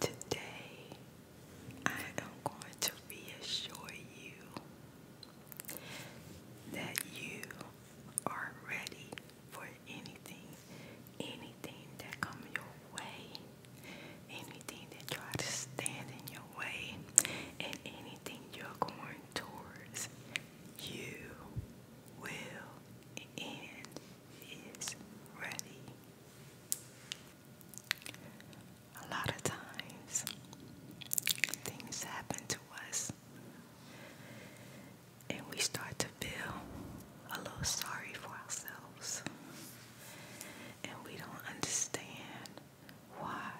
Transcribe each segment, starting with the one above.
Today, I am going to reassure you that you are ready for anything, anything that comes your way, anything that tries to your way, and anything you're going towards you will and is ready. A lot of times things happen to us and we start to feel a little sorry for ourselves and we don't understand why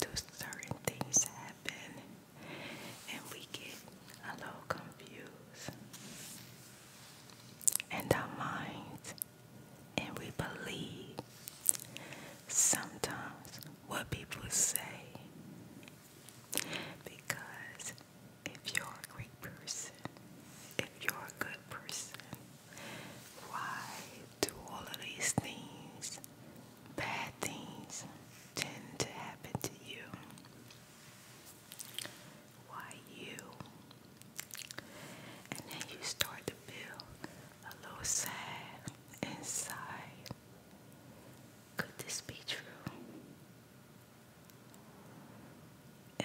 do certain things happen and we get a little confused and our minds and we believe sometimes what people say because if you're a great person, if you're a good person, why do all of these things bad things tend to happen to you. Why you? And then you start to feel a little sad inside. Could this be true?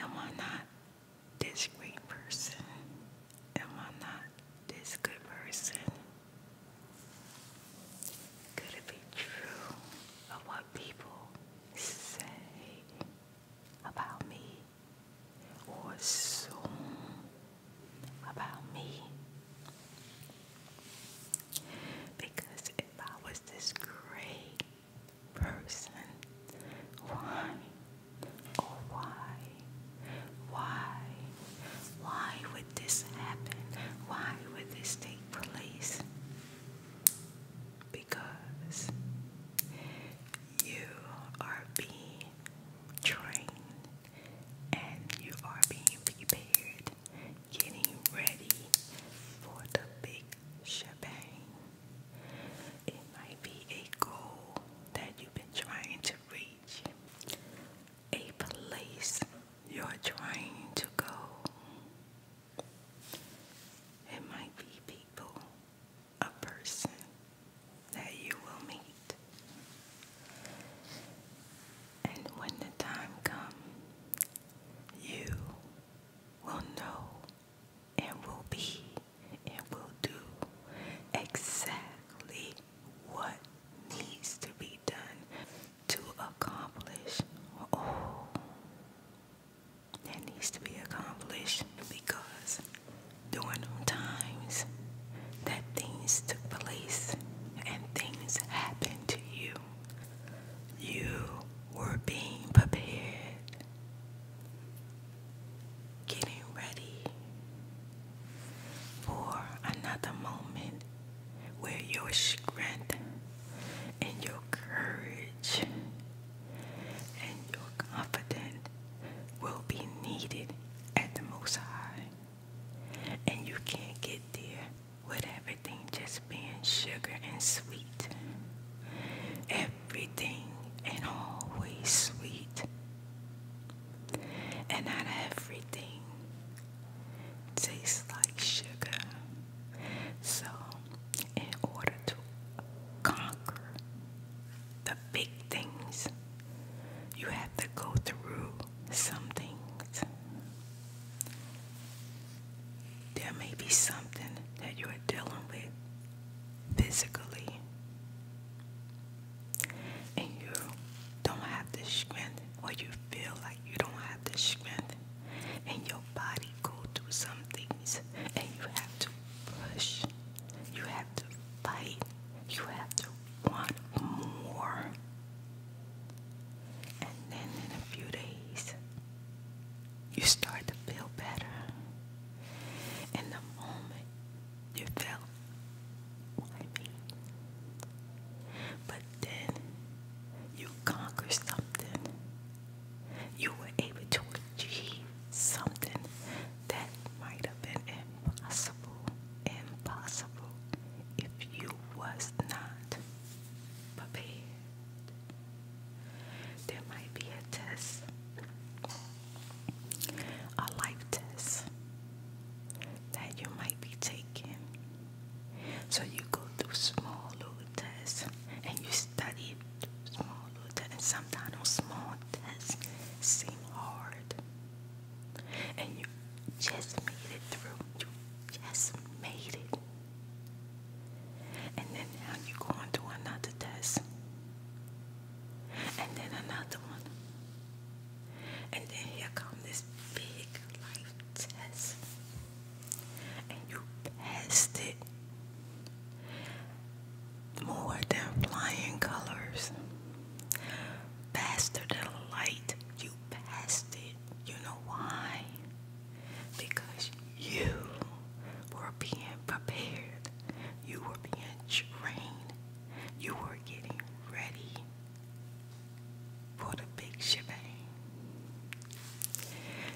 Am I not this great person? Am I not this good person? Could it be true of what people say about me or assume about me? Because if I was this great person, why, oh why why? Why would this happen? Why would this take place? Because you are being trained and you are being prepared, getting ready for the big shebang. It might be a goal that you've been trying to reach a place you're trying to go. It might be people, a person that you will meet. And when the time comes, you will know and will be and will do exactly what needs to be done to accomplish all that needs to be accomplished because during them times that things took place and things happened to you, you were being prepared getting ready for another moment where your strength and your courage and your confidence will be needed at the most high. And you can't get there with everything just being sugar and sweet. Everything and always sweet and not everything tastes like sugar. So, in order to conquer the big things, you have to go through something. There may be something that you are dealing with physically and you don't have the strength, or you feel like you don't have the strength, and your body go through some things, and you have to push, you have to fight, you have to want more, and then in a few days, you start to feel better. In the moment, you fell, why me? But then you conquer something. You were able to achieve something that might have been impossible, impossible if you was not prepared. There might be a test a life test that you might be taking. So you go through small little tests and you study small little tests. And sometimes those small tests seem hard. And you just made it through. You just made it. And then now you go on to another test and then another one. And then here comes this big life test. And you passed it more than flying colors. Faster than light, you passed it. You know why? Because you were being prepared. You were being trained. You were getting ready for the big shebang.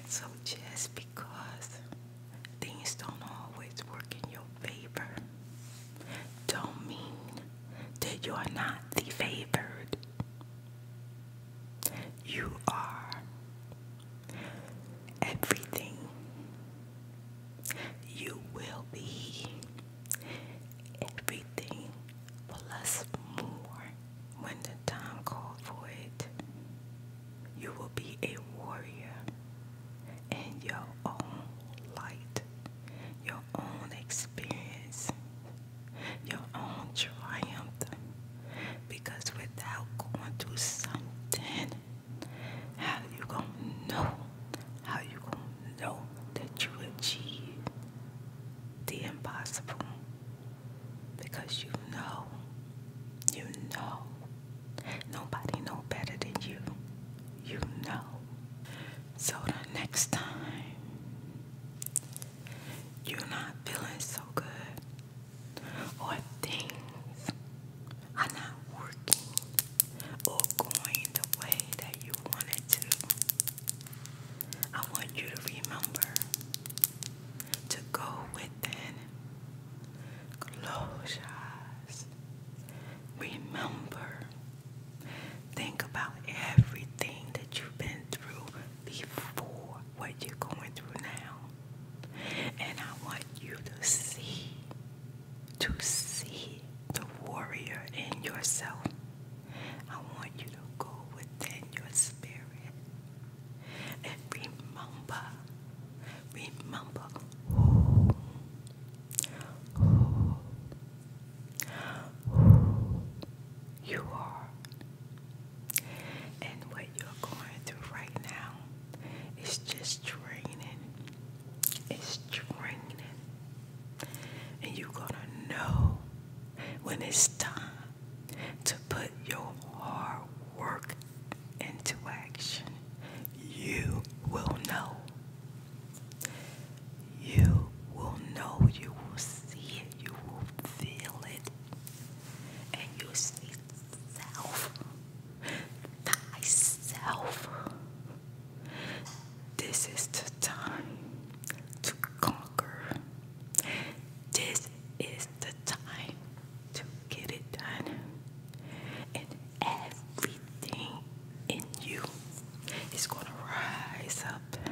So just because things don't always work in your favor, don't mean that you're not the favored. You are everything. You will be everything plus more when the time called for it. You will be a warrior in your own light, your own experience, your own triumph. Because without going through something, how you gonna know? How you gonna know that you achieve the impossible? Because you know, you know, nobody know better than you. You know. So the next time you're not feeling so good or things are not working or going the way that you wanted to, I want you to remember to go within, close your eyes, remember, think about everything that you've been through before what you're going through now. And I want you to see, to see the warrior in yourself. I want you to go within your spirit and remember, remember who, who, who you are. And what you're going through right now is just draining. It's draining. And you're going to know when it's time to put your hard work into action. You will know. You will know. You will see it. You will feel it. And you'll see thyself, This is the time to conquer. This is the time to get it done. And everything in you is going to rise up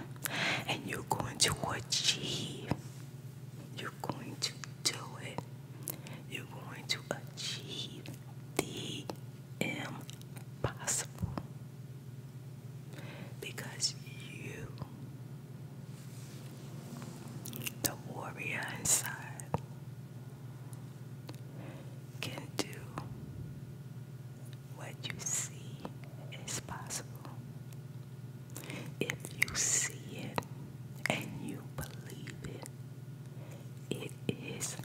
and you're going to achieve you're going to do it. You're going to achieve the impossible because you, the warrior inside, can do what you see is possible. If you see it and you believe it, it is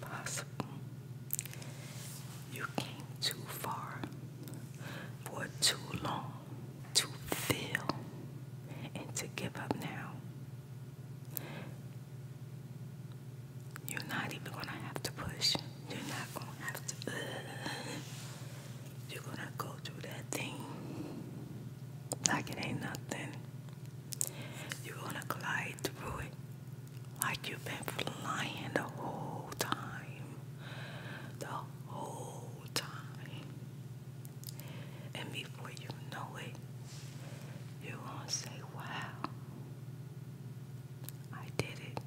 possible. You came too far for too long to fail and to give up now. You're not even gonna have to push. You're not gonna have to. Uh, you're gonna go through that thing like it ain't nothing. You're gonna glide through it like you've been flying the whole time. The whole time. And before you know it, you're gonna say, Wow, I did it.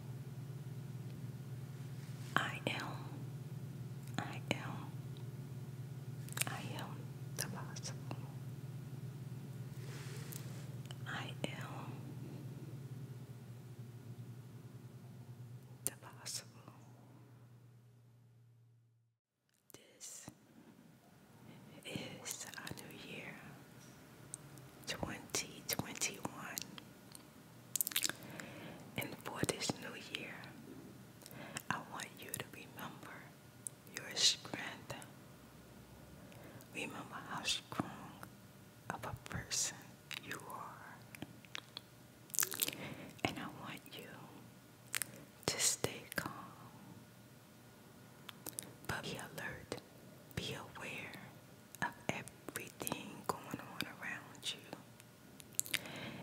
I am, I am, I am the possible. I am the possible. This is a new year, 2021. And for this new year, I want you to remember your strength. Remember how strong of a person you are. And I want you to stay calm. But be alert, be aware, of everything going on around you.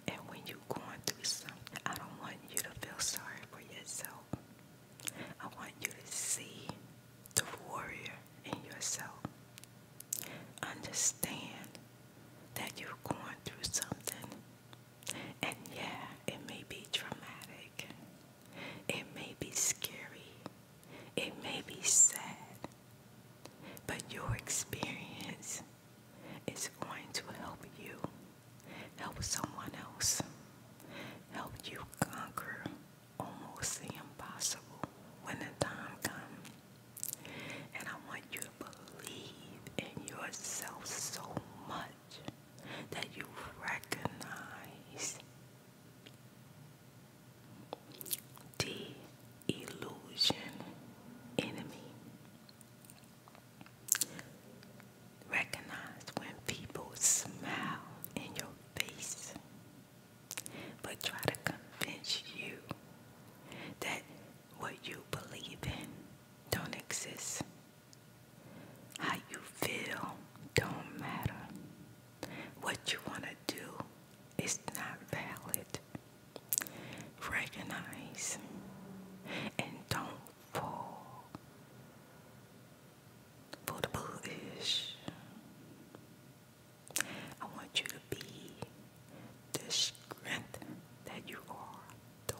And when you're going through something, I don't want you to feel sorry for yourself. I want you to see the warrior in yourself. Understand that you're going through something. And yeah, it may be traumatic. It may be scary. It may be sad. But your experience is going to help you, help someone else, help you conquer almost the impossible when the time comes. And I want you to believe in yourself so much that you recognize Delusion enemy. Recognize when people smile in your face, but try to convince you that what you believe in don't exist. How you feel don't matter. What you want to do is not valid. Recognize and don't fall for the bullish. I want you to be the strength that you are, the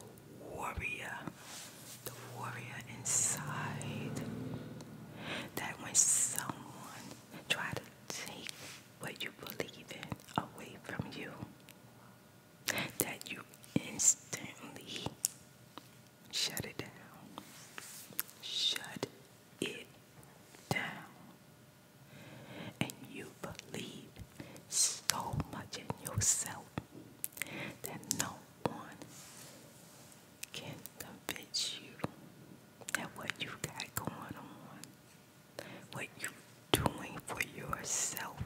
warrior, the warrior inside. That when someone try to take what you believe in away from you that you instantly shut it down. Shut it down. And you believe so much in yourself that no one can convince you that what you got going on, what you doing for yourself,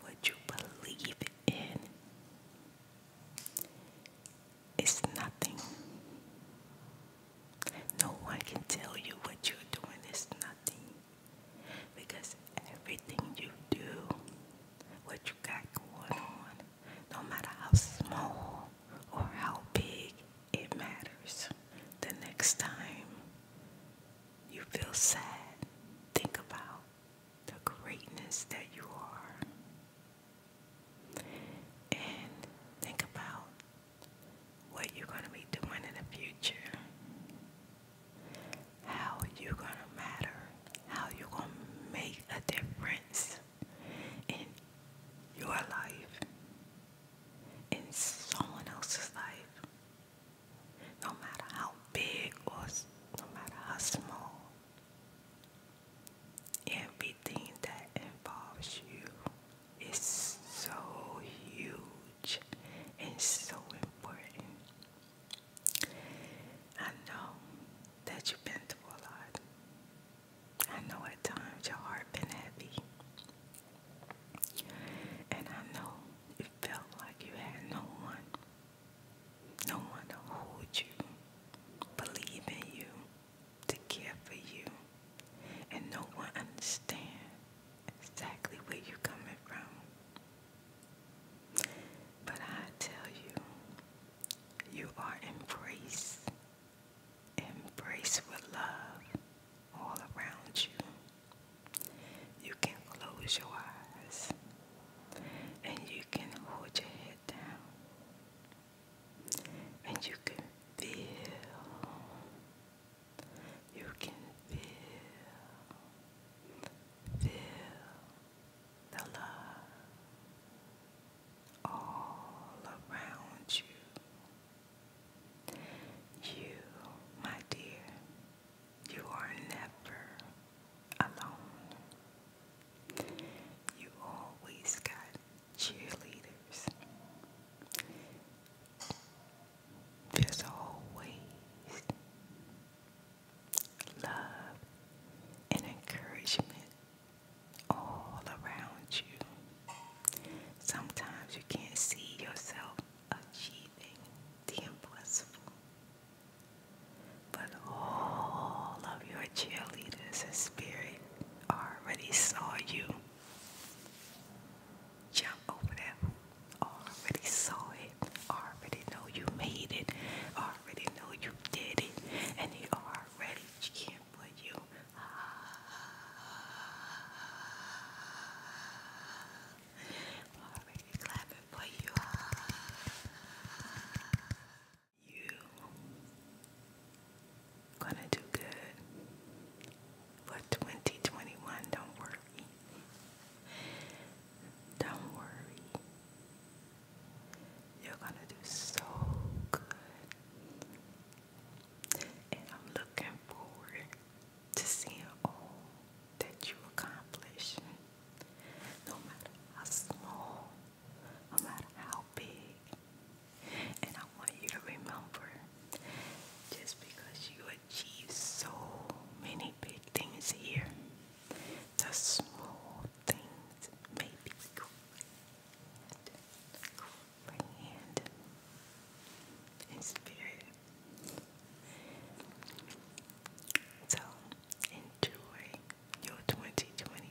what you believe in, is nothing. No one can tell you what you're doing is nothing because everything you do, what you got going on, no matter how small or how big it matters. The next time you feel sad, think about the greatness that you are. And think about what you're going to be doing in the future. How you going to matter. How you going to make a difference in your life, in someone else's life, no matter how big or no matter how small, everything that involves you is so huge and so important. I know that you've been through a lot. I know at times your heart been heavy. And I know it felt like you had no one. No one to hold you, believe in you, to care for you. And no one understand exactly where you're coming from. But I tell you, you are embraced, embraced with love all around you. You can close your eyes and you can hold your head down and you can feel, you can feel, feel the love all around you. You, my dear, you are never alone. You always got cheerleaders. There's always love, and encouragement all around you. Sometimes you can't see yourself achieving the impossible, but all of your cheerleaders and spirit already saw you. Jump over there. Already saw it. Already know you made it. Already know did it and they are ready chicken for you. Already clapping for you. You gonna do good for 2021. Don't worry. Don't worry. You're gonna do so good. And I'm looking forward to seeing all that you accomplish. No matter how small, no matter how big. And I want you to remember just because you achieve so many big things here the small things may be grand, grand in spirit. So enjoy your 2021.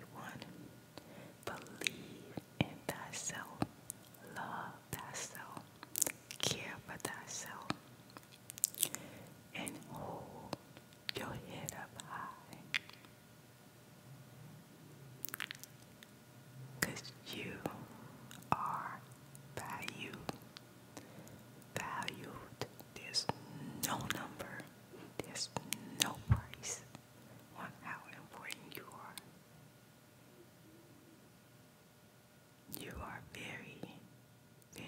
Believe in thyself. Love thyself. Care for thyself and hold your head up high. you are valued, valued. There's no number, there's no price on how important you are. You are very, very,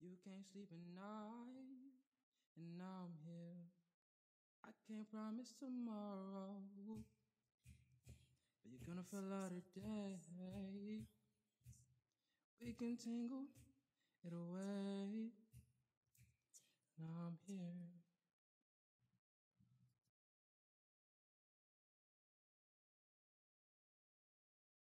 You can't sleep at night, and now I'm here. I can't promise tomorrow, but you're gonna feel out of day. We can tangle it away. Now I'm here.